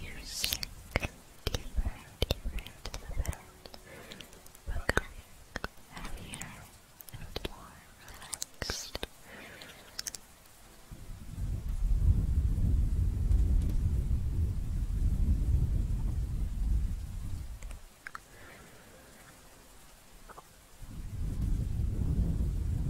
Music deeper, deeper into the bed, becoming heavier and more relaxed.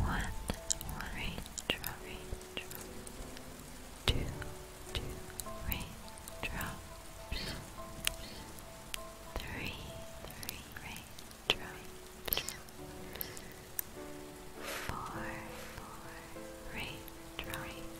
One raindrop, raindrop. Two, two raindrops. Three, three raindrops. Four, four raindrops.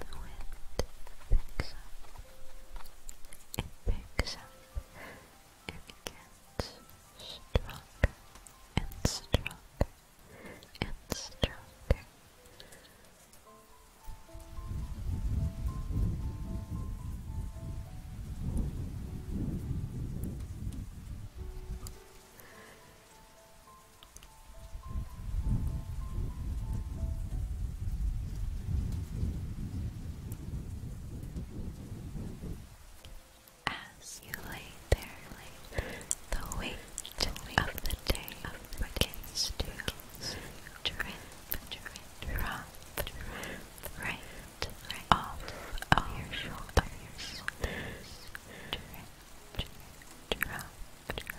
The wind picks up. It picks up. It gets stronger and stronger and stronger. As you lay there, the weight of the day begins to drip, drip, drop, right, right off of your shoulders. Drip, drip, drop, drop.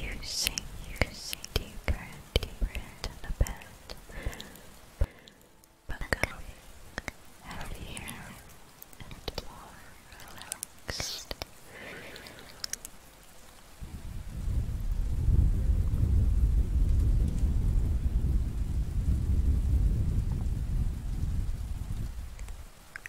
You sink, you sink deeper and deeper into the bed, becoming heavier and more relaxed.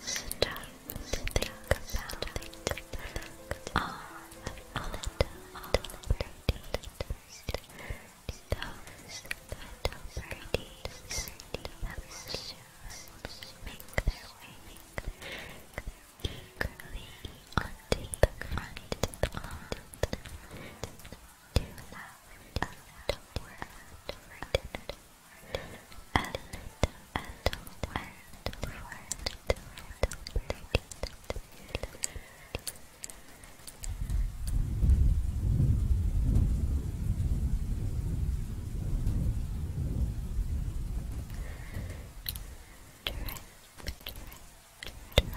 Stop to think about All of the opportunities that make their way eagerly onto the front of the too loud, a little word for pretty. Drip, drip, drop, drop, drop, drip, drip, drop.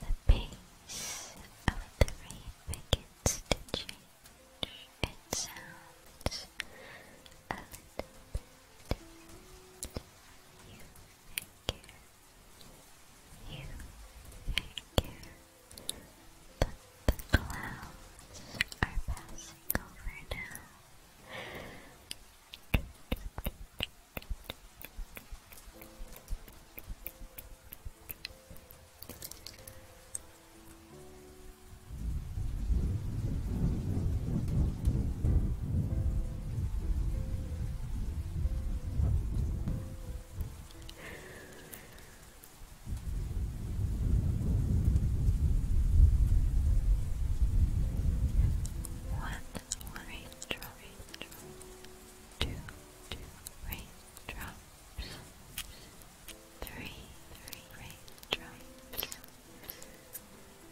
the pace of the rain begins to change. It sounds a little You figure, you figure that the clouds are passing over now. One orange, orange, two two raindrops, three, three raindrops,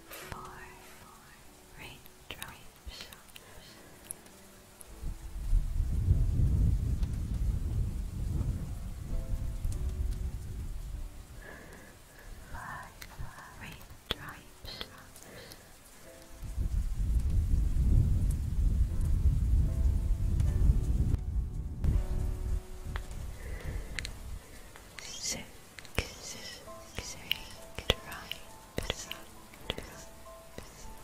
four, four raindrops. Five, five raindrops. Six, six, eight, right,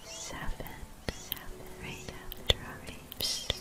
seven, seven, right, right, right, Six,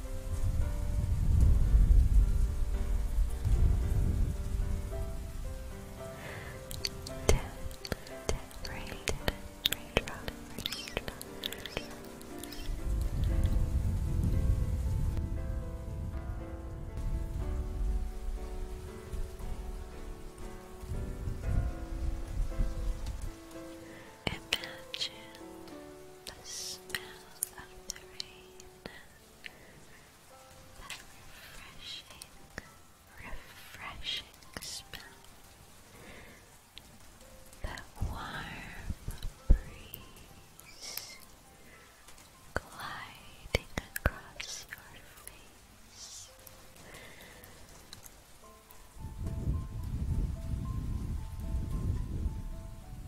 Ten, ten, rain, Imagine the smell of the rain that refreshing, refreshing smell. That warm breeze gliding across your face.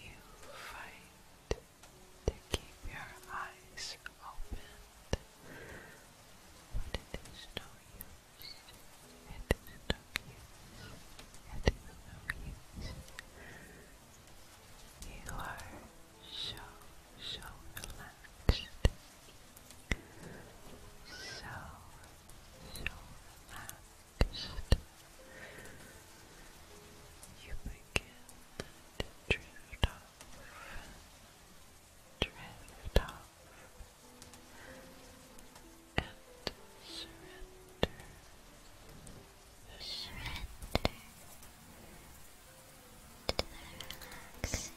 You fight to keep your eyes open, but it is no use. It is no use. It is no use. You are so, so relaxed. So, so relaxed. You begin to drift off, drift off, and surrender. Surrender to the relaxing sounds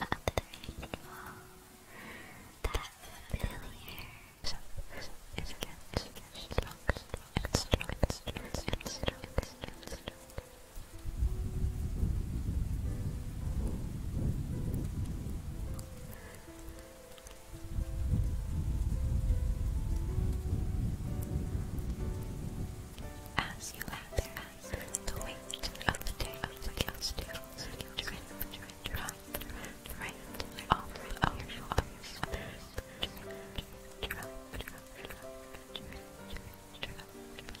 of the rain that familiar so, so, it gets stronger and stronger and stronger and stronger and as you out there, the weight of the day of the costume drift, drop, right off of your shoulders. Drop, drop, drop, drop, drop, drop, drop, drop.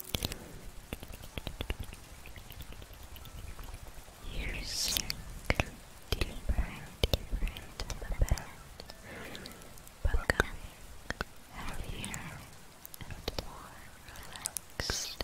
Using different, different event, becoming heavier and more relaxed.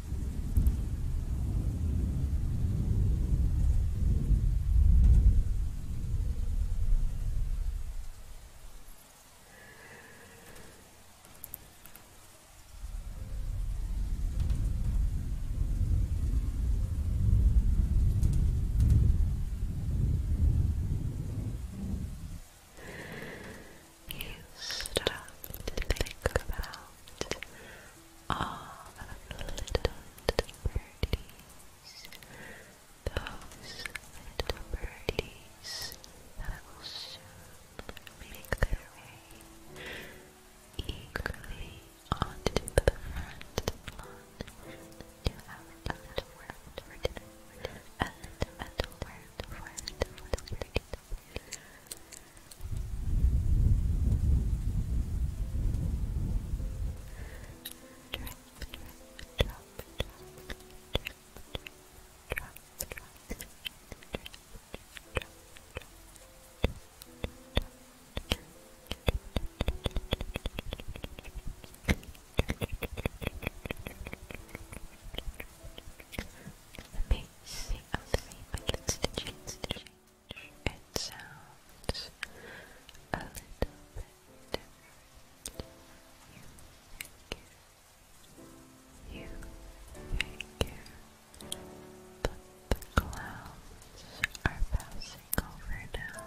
You stop to think about all of the little, birdies, those little birdies that will soon make their way eagerly onto the front lawn to have a little word for dinner, a little, little word for the little birdies drop, drop, drop, drop. The base of the rainbow, it sounds a little bit You figure, you figure, but the clouds are passing over now.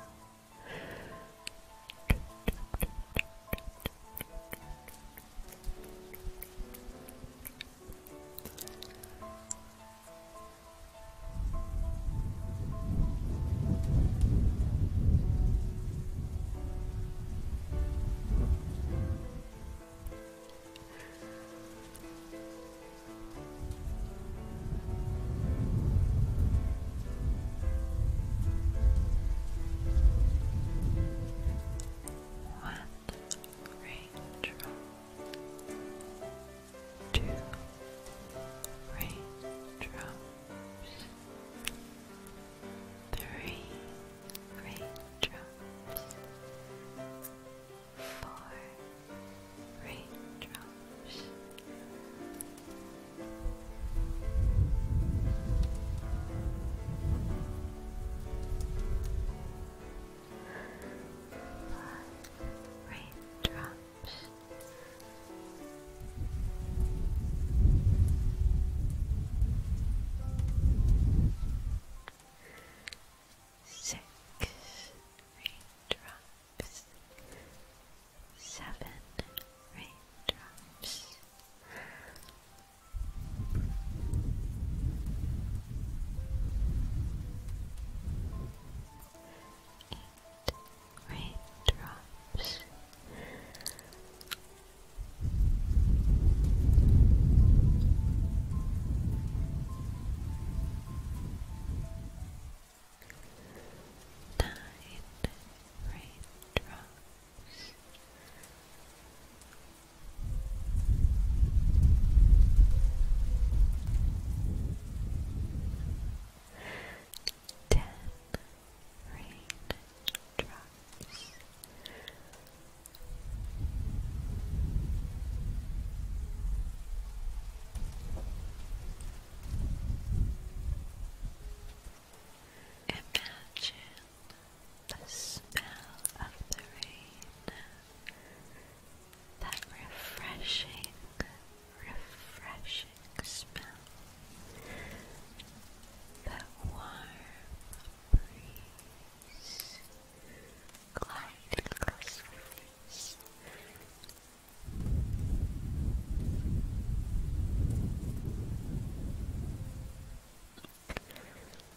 What raindrops Two raindrops, three raindrops, four raindrops. Blood raindrops. Six raindrops, seven raindrops, raindrops Nine raindrops Ten rain Imagine the smell of the rain that refreshing, refreshing smell, that warm breeze gliding across your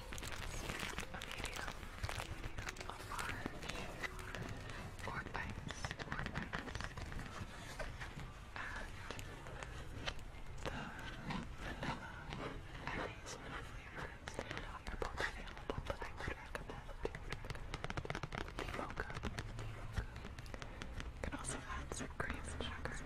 a medium, a large, And the vanilla and hazelnut flavors are both available, but I would recommend, would recommend the mocha. You can also add some cream and sugar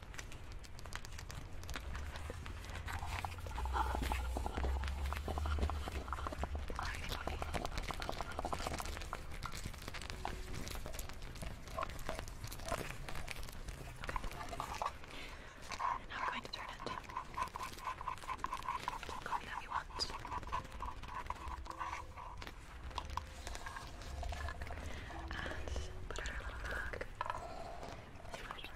And now we're going to turn it to the coffee that we want. And put our little mug.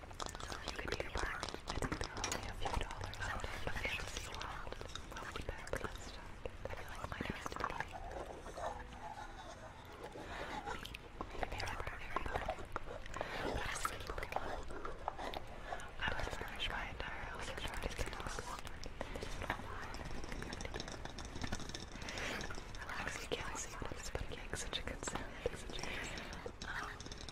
You could do your I think there are only a few dollars out of the fantasy world. Well, we better get started. I feel like mine has to be. Maybe they are very low. But I still keep going on. I was furnished my entire house and tried to get lost. Relax, you can't see what it's, but it makes such a good sound. Um,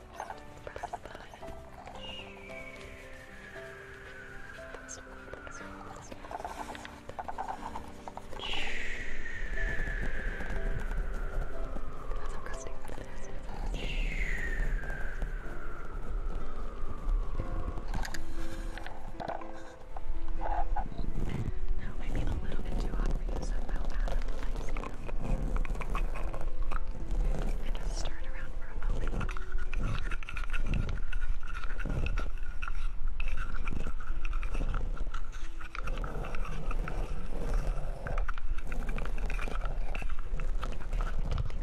Now maybe a little bit too hot for you, so I fell out of the light and just stir it around for a moment. Okay, take the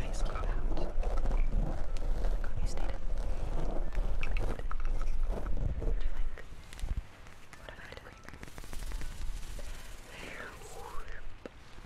ice cube out. You stayed in. Good. Do you like? What about the creamer?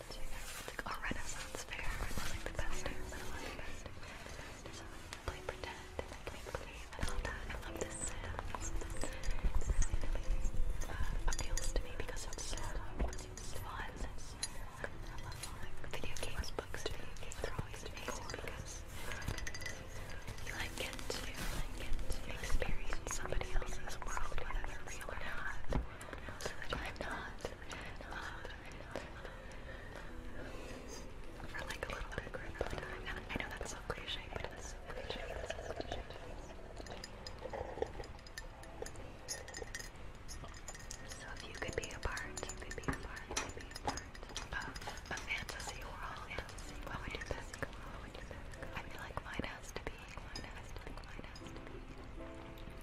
It's like a Renaissance fair. It's like the best thing. the best thing. play pretend and I play believe and that. I love this sound. appeals to me because it's so video games, books, video games are always amazing because you like get to experience somebody else's world, So that I'm not. For like a little bit of time. I know that's so cliche, but it is so cliche. so if you could be a part, you could be a part, you could be a part of a fantasy world. Fantasy would you pick? What would you pick? I feel like mine has to be.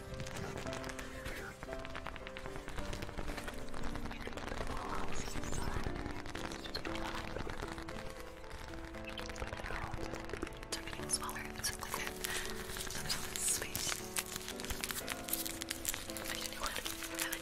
They're getting smaller. It's like that. There's all this space. I need a new one. I have it.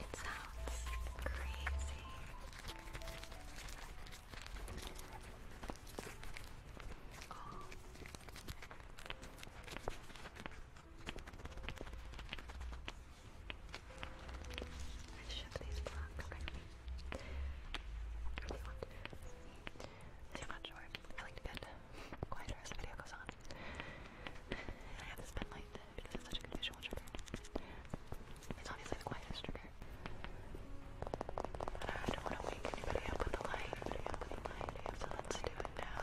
It sounds crazy. Oh. I shove these blocks. Okay. If want, not sure, I like to get quieter as the video goes on. And I have this pen because it's such a good visual trigger. It's obviously the quietest trigger. But I don't want to wake anybody up with the light. So let's do it now.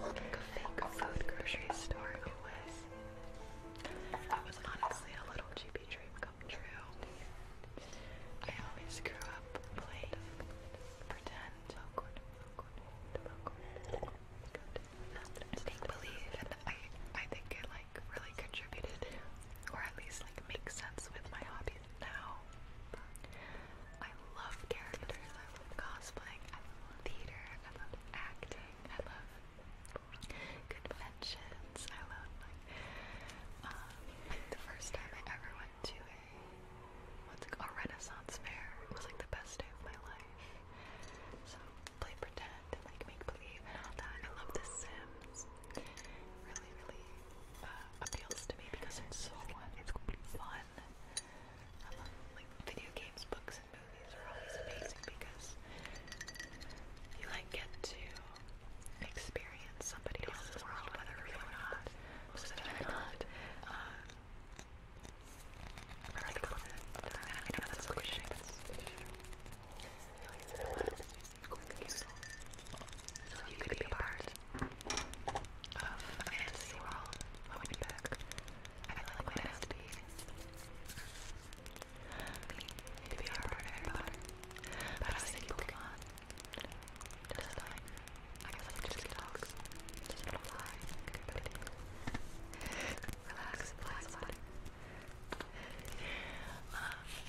Like fake food grocery store, it was. honestly a little GP dream come true. I always grew up playing pretend. Make believe, and I, I think it like really contributed, or at least like makes sense with my hobbies now. I love characters, I love cosplay. I love theater, I love acting, I love conventions, I love like um, the first time I ever went to a what's it called a Renaissance fair it was like the best day of my life. So play pretend and like make believe and I love the Sims really, really uh, appeals to me because it's so fun. video games, books, and movies are always amazing because you like get to experience somebody else's world, whether real or not. a lot a cliche, but it's like a lot so you could be part of fantasy world when we back. I feel like what it to be to be our part of Harry But I was thinking Pokemon. Doesn't like, I guess just get dogs. Doesn't apply. Good Relax, relax, relax. Um,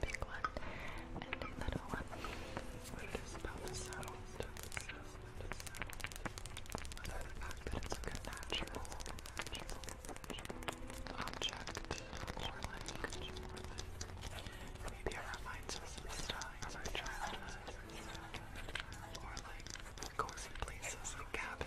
big one and a little one. What about the sound, the the fact that it's a natural, object, or maybe it reminds us of our childhood, or like, cozy places, like cabins.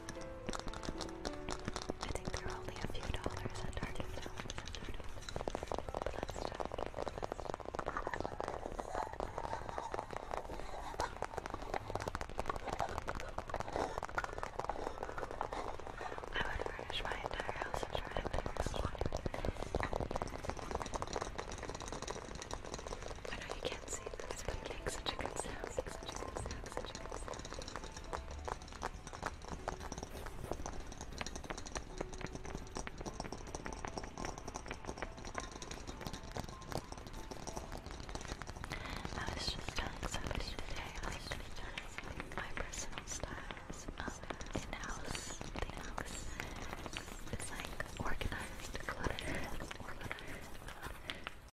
I think they're only a few dollars and Target now. Let's check. I would furnish my entire house and try to make this I know you can't can't see this, but it makes such a good sound, such a good sound, such a good sound. I was just telling somebody today, I was just telling my personal styles of um, in-house things. It's like organized, cluttered, organized.